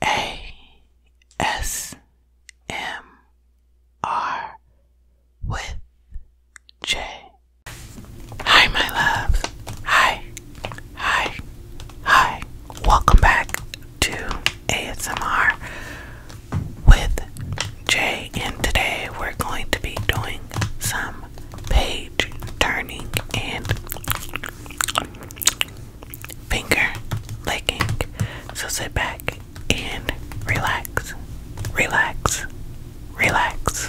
ASMR with Jay. Hi, my loves. Hi, hi, hi. Welcome back to ASMR with Jay, and today we're going to be doing some page turning and finger licking. So sit back and relax, relax, relax.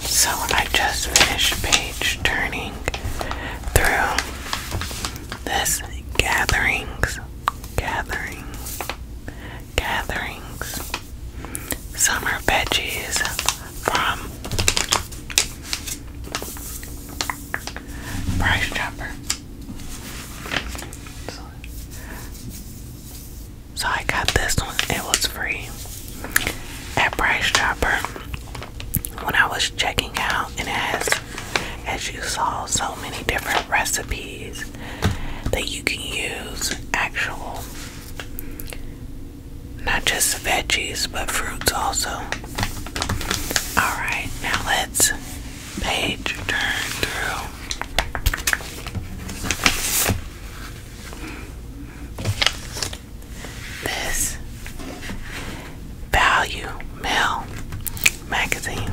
So I just finished page turning through this gatherings, gatherings, gatherings, summer veggies from Price Chopper. So, I got this one. It was free at Price Chopper when I was checking out, and it has, as you saw, so many different recipes that you can use actual, not just veggies, but fruits also. All right, now let's page turn through. This Value Mail magazine.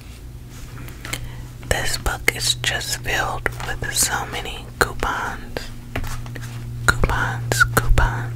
This book is just filled with so many coupons. Coupons, coupons.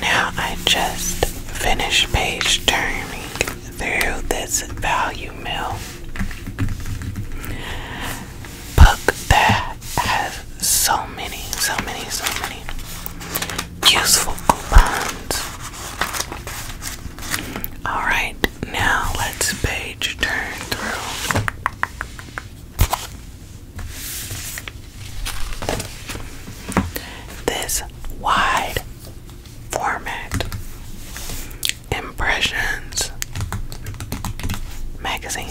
Now I just finished page turning through this value mill book that has so many, so many, so many useful coupons. Alright, now let's page turn through. This wide format impressions magazine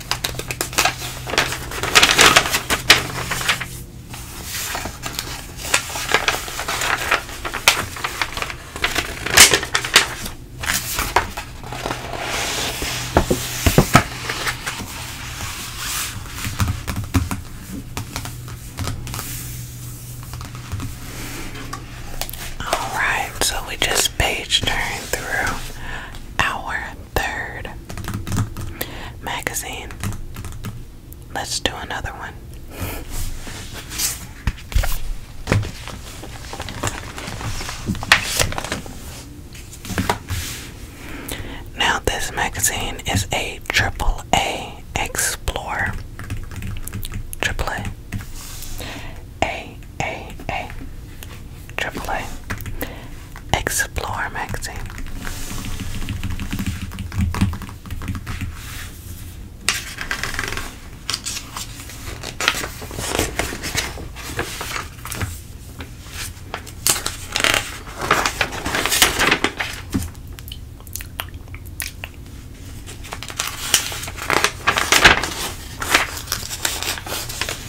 All right, so we just page turn through our Third magazine. Let's do another one. Now, this magazine is a triple Explorer. Triple A. A, Explore magazine.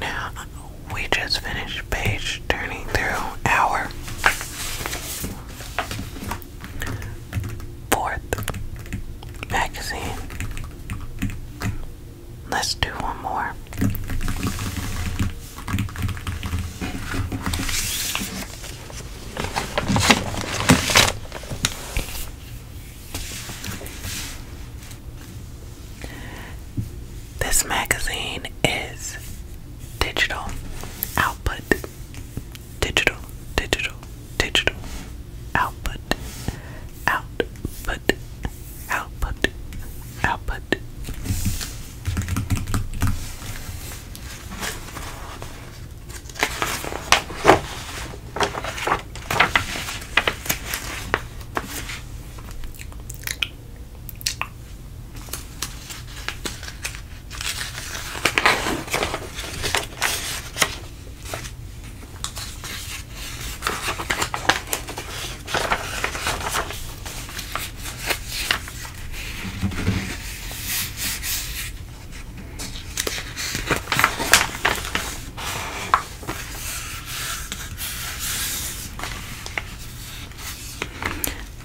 Now we just finished page turning through our Fourth magazine. Let's do one more. This magazine is digital output digital, digital, digital, output, output, output, output.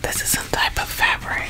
This is some type of fabric.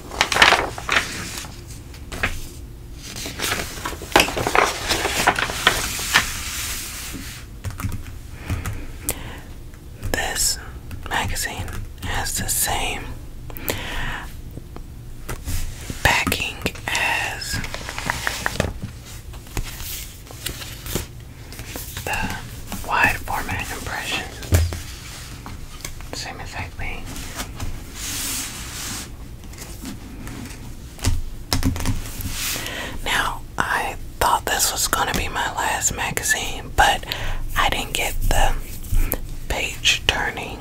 This magazine has the same backing as the wide format impression. Same exact Now, I thought this was going to be my last magazine, but I didn't get the page turning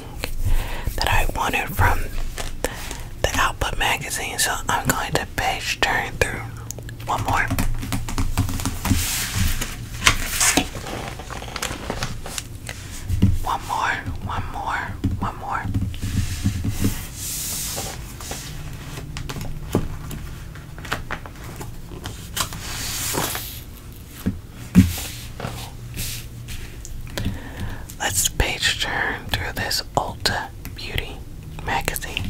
that I wanted from the Output magazine, so I'm going to page turn through one more. One more, one more, one more. Let's page turn through this Ulta Beauty magazine.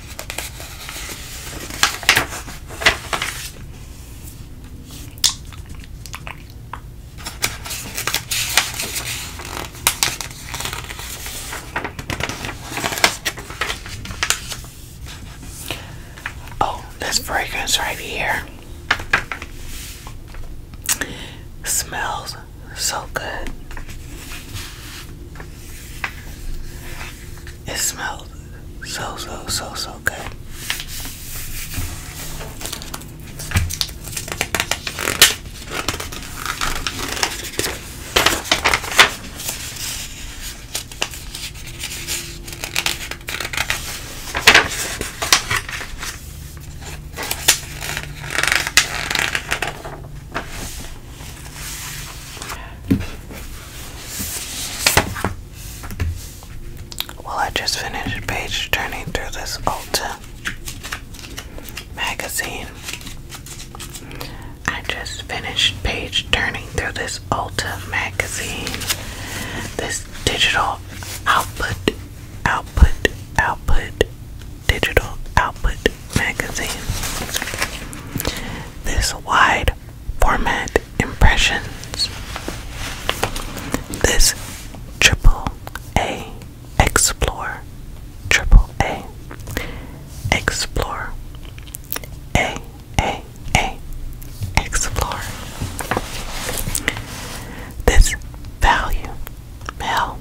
Oh, this fragrance right here smells so good. It smells so, so, so, so good. Well, I just finished page turning through this Ulta magazine. I just finished page turning through this Ulta magazine. This digital output, output, output, digital output magazine. This wide format impressions. This triple A explore triple A explore A A A explore this value mail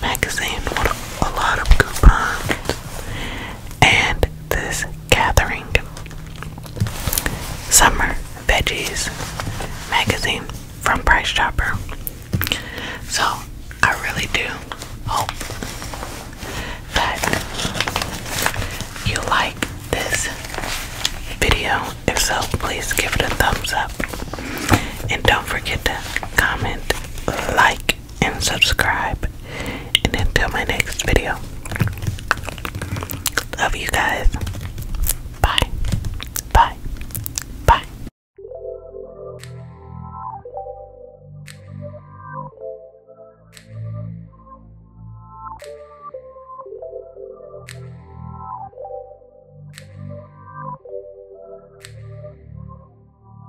magazine with a lot of good coupons and this gathering. Summer Veggies magazine from Price Chopper. So I really do hope that you like this video. If so, please give it a thumbs up. And don't forget to comment, like, and subscribe. And until my next video, love you guys. Bye. Bye. Bye.